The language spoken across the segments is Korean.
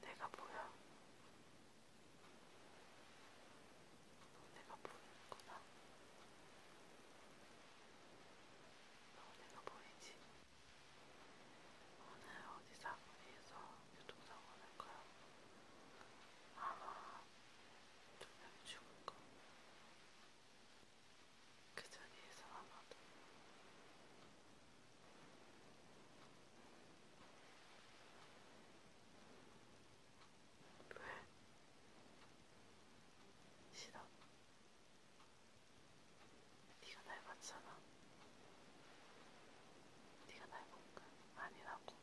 내가 보여? 너네가 보이는구나. 너네가 보이지? 오늘 어디 사거리에서 교통사고 날 거야. 아마 두 명이 죽을 거. 그 자리에서 아마도 왜? 싫어. 네가 날 봤잖아. 네가 날 본가? 아니라고.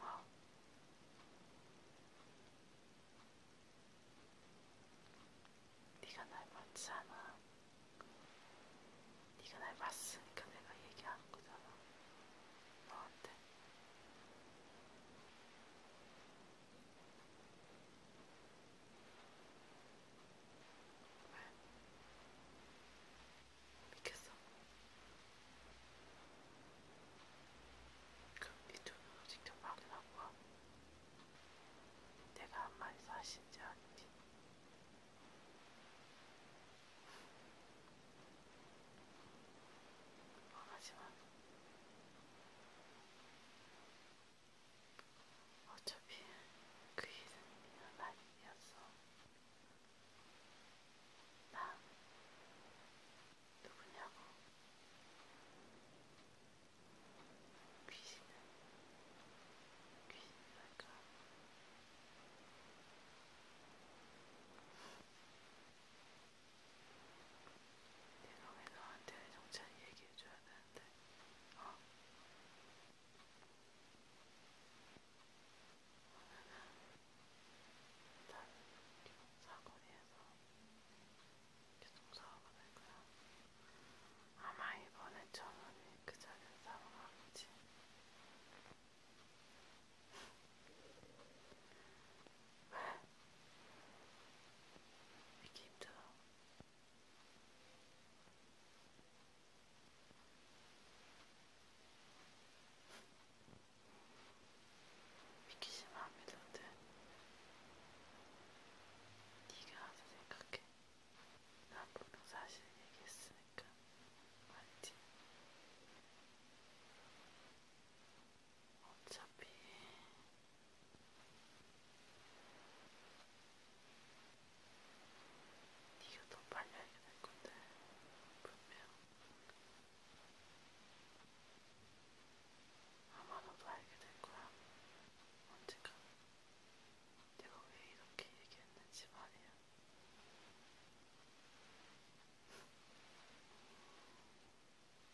어? 네가 날 봤잖아. 네가 날 봤으니까 내가 얘기한 거잖아. 너한테. 왜? 믿겠어? 그럼 네 눈으로 직접 확인하고 와. 내가 한 마리 사신지 아닌지. 하지만 어차피 그 일은 미안한 일이었어. 난 누구냐고 귀신은 귀신이랄까 내가 왜 너한테 정찬이 얘기해줘야 되는데 어? 오늘은 일단 사거리에서 교통사고가 날 거야. 아마 이번에 전원이 그 자리에 사고가겠지. 왜? 믿기 힘들어. 믿기 싫어 안 믿어도 돼. 네가 와서 생각해. 난 분명 사실 얘기했으니까. 맞지? 어차피 네가 더 빨리 알게 될 건데 분명 아마 너도 알게 될 거야. 언젠가 내가 왜 이렇게 얘기했는지 말이야.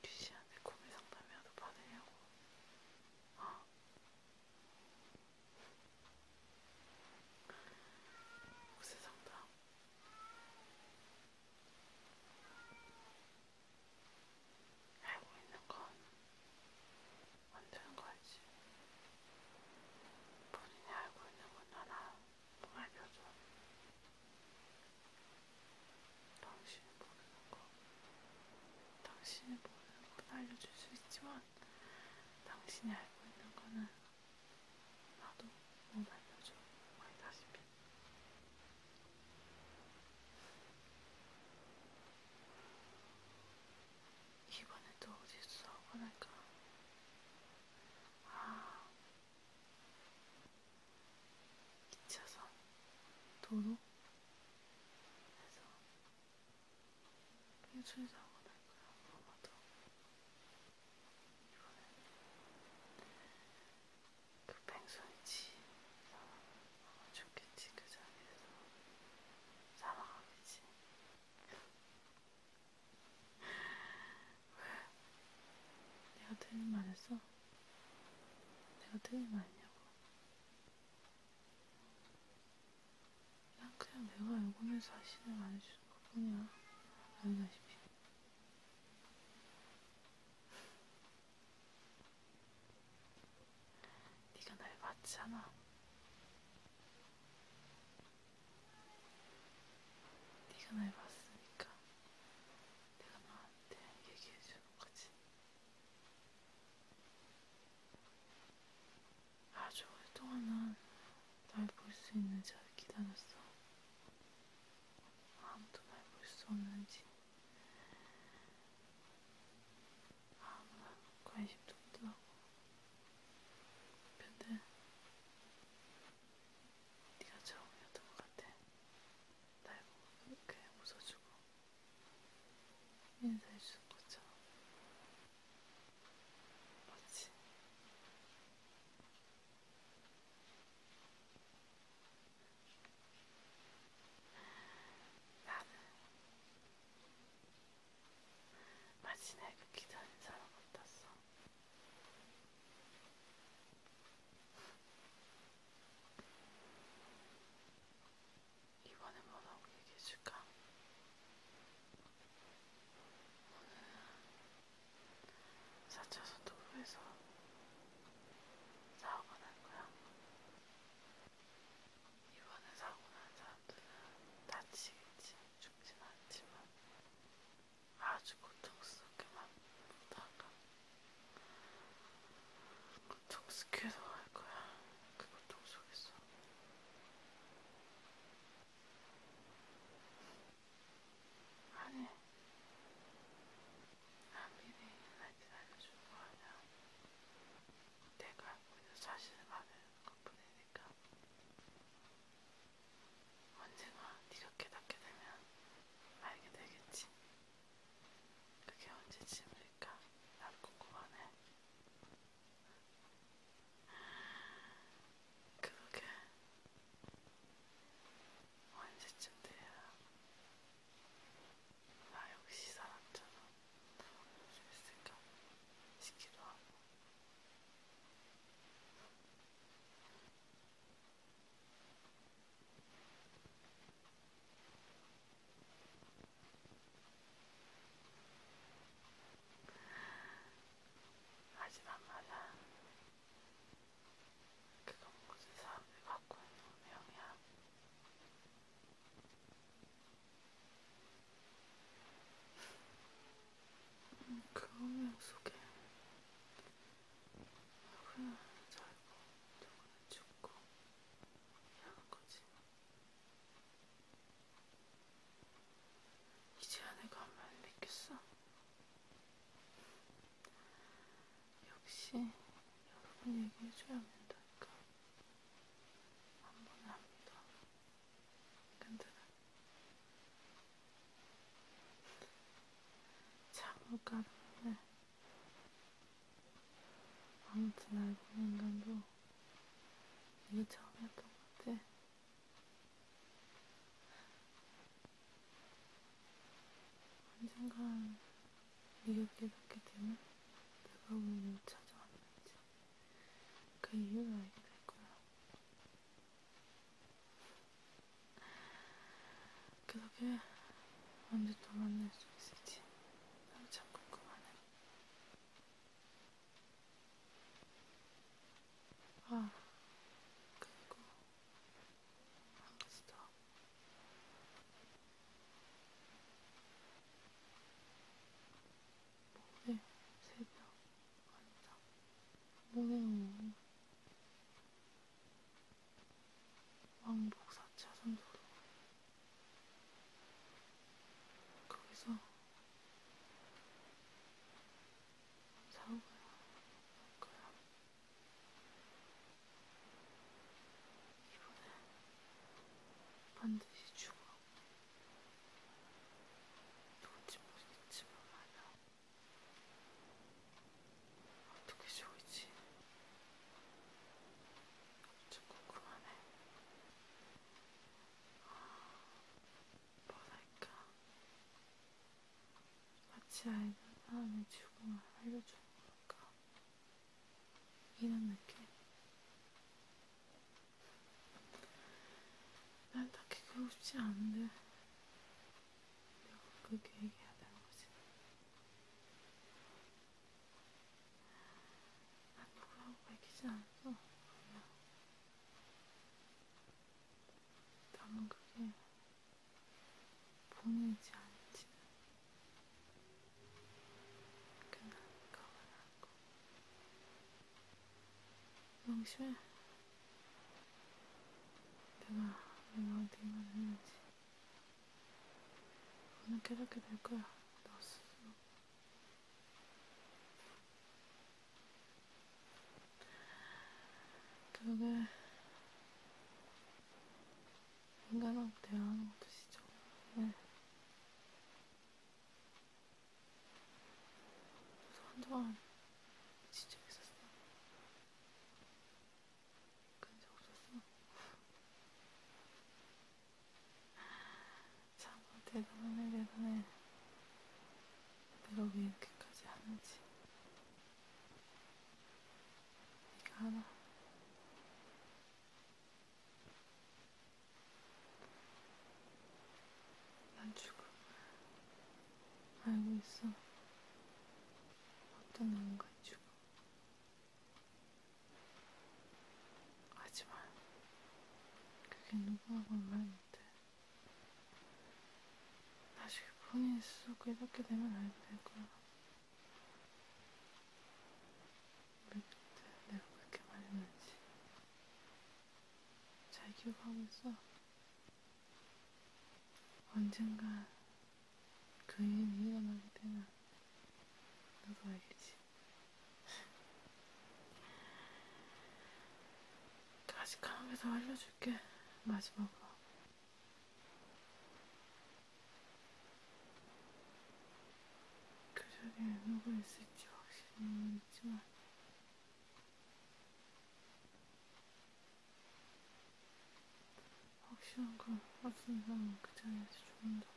귀시한테 고민 상담이라도 받으려고. 어? 구세 그 상담. 알고 있는 건안 되는 거지. 본인이 알고 있는 건 하나 알려줘. 당신이 모르는 거, 당신이 모르는 건 알려줄 수 있지만, 당신이 알고 있는 거는 나도 못 알려줘. 거의 다시피. 이번에도 어딨어? 그러니까 아 2차선 도로 해서 일주일 사고 날 거야 아마도 이번에 그뺑소니지 어, 좋겠지 그 자리에서 사망하겠지 왜? 내가 틀린 말 했어? 내가 틀린 말 했냐고 난 그냥 내가 요거는 사실을 말해주는 것 뿐이야 알다시피 네가 날 봤잖아. 네가 날 봤으니까 내가 너한테 얘기해 주는 거지. 아주 오랫동안 난날볼 수 있는 자를 기다렸어. 아무도 말 볼 수 없는지 아무나 관심도 없더라고. 근데 네가 처음이었던 것 같아. 날 보고 이렇게 웃어주고 인사해 주는 것처럼. 맞지? 나는 마침내 그 기다린 사람 같았어. 이번엔 뭐라고 얘기해줄까? 오늘은 4차선 도로에서 사고가 난 거야. 이번에 사고 난 사람들은 다치겠지, 죽진 않지만 아주 고통스럽게만 보다가 고통스럽게도 할 거야. 그 고통 속에서. 하늘, 하늘이 나한테 알려준 거아니야 내가 알고 있는 사실만을 것뿐이니까 언젠가 네가 깨닫게 되면 알게 되겠지. 그게 언제쯤일까? 난 궁금하네. 그러게 언제쯤 아, 돼야 나 역시 사람처럼 생각 시기도 하고 하지만 말아 그건 모든 사람들이 갖고 있는 운명이야. 음, 그 운명 속에 누구는 살고 누구는 죽고 이러는 거지. 이제야 내가 한말 믿겠어. 역시 여러분 얘기해줘야 된다니까. 한 번에 합니다. 근데 잠을 까는데 아무튼 알고 있는 인간도 뭐 이게 처음이었던 것 같아. 언젠간 미국에 가게 되면 내가 왜 찾아왔는지 그 이유를 알게 될 거야. 그렇게 언제 또 만날 수 있을지 나도 참 궁금하네. 아, 그리고 햄스터. 모레 새벽 아니다. 모레 오후 왕복 4차선 도로 거기서 사고야 그럼 이번엔 반드시 죽어. 누군지 모르겠지만 말이야. 어떻게 죽을지 엄청 궁금하네. 뭐랄까 같이 알던 사람의 죽음을 알려주는 걸까? 이런 느낌? 난 딱히 그러고 싶지 않은데 내가 그렇게 얘기해야 되는 거지 난 누구라고 밝히지 않았어 그냥 다만 그게 보이지 않지는 그날 가만하고 명심해 내가 너한테 이 말을 했는지 오늘 깨닫게 될 거야 너 스스로 결국에 인간하고 대화하는 것도 시죠. 네. 그래서 한동안 진짜 있었어. 근데 없었어. 참 뭐 대단해 대단해 내가 왜 이렇게까지 하는지 이거 하나 난 죽음 알고 있어 어떤 인간이 죽음 하지만 그게 누구하고는 말 못해. 나중에 본인 스스로 깨닫게 되면 알게 될 거야. 왜 그때 내가 그렇게 말했는지 잘 기억하고 있어. 언젠가 그 일이 일어나게 되면 너도 알겠지. 다시 강에서 알려줄게 마지막으로 그 자리에 누구 있을지 확실히 모르지만 확실한 건 어떤 사람은 그 자리에서 조금 더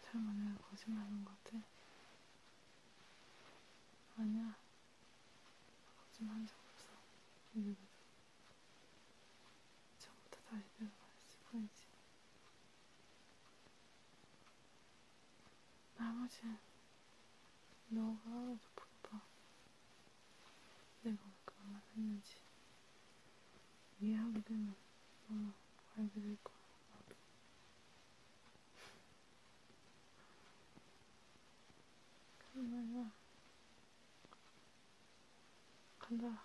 설마 내가 거짓말하는 것 같아? 아니야. 거짓말한 적 없어. 이제부터. 처음부터 다시 내가 말했을 뿐이지. 나머지는 너가 하나도 못 봐. 내가 왜 그런 말 했는지 이해하게 되면 너무 알게 될 거야, 나도. 그런 말이야. 간다.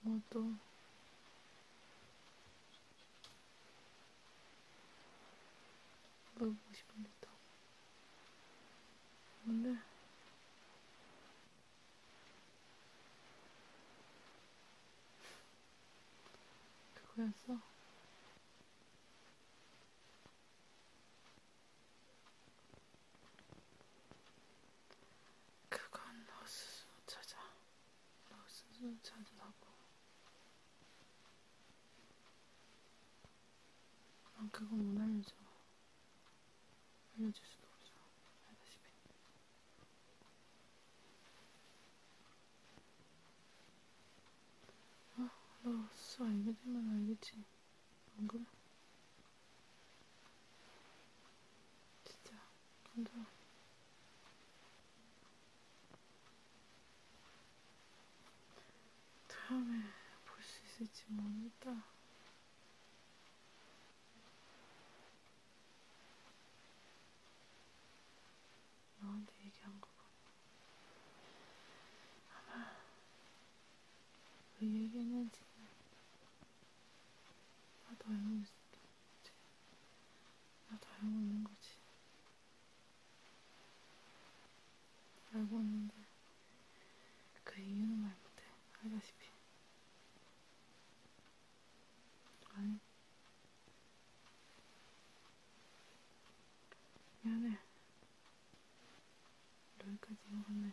모두 물어보고 싶은데 또 오늘 그거였어? 그건 너 스스로 찾아. 박수도 찾으라고. 난 그건 못 알려줘. 알려줄 수도 없어. 알다시피. 어? 아, 너수 알게 되면 알겠지. 안 그래? 진짜 간다. 다음에 볼 수 있을지 모르겠다. 너한테 얘기한 거고 아마 왜 그 얘기했는지 나도 알고 있어. 나도 알고 있는 거지. 알고 있는데 그 이유는 말 못해. 알다시피. 아니. 미안해. 여기까지 온 건데.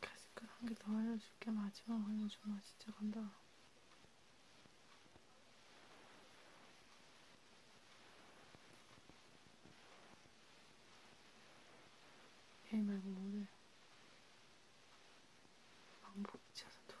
가스끈 한개 더 알려줄게. 마지막 알려주마. 진짜 간다. 얘 말고 뭐래? 방복 찾아둬서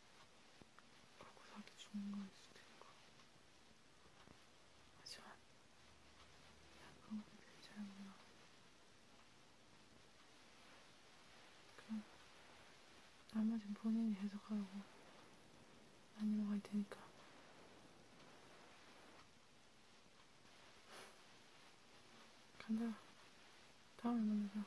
갖고 살기 좋은 건 있을 테니까. 하지만, 약간은 괜찮구나. 그럼, 나머진 본인이 해석하고, 아니면 갈 테니까. 간다. 다음에 만나자.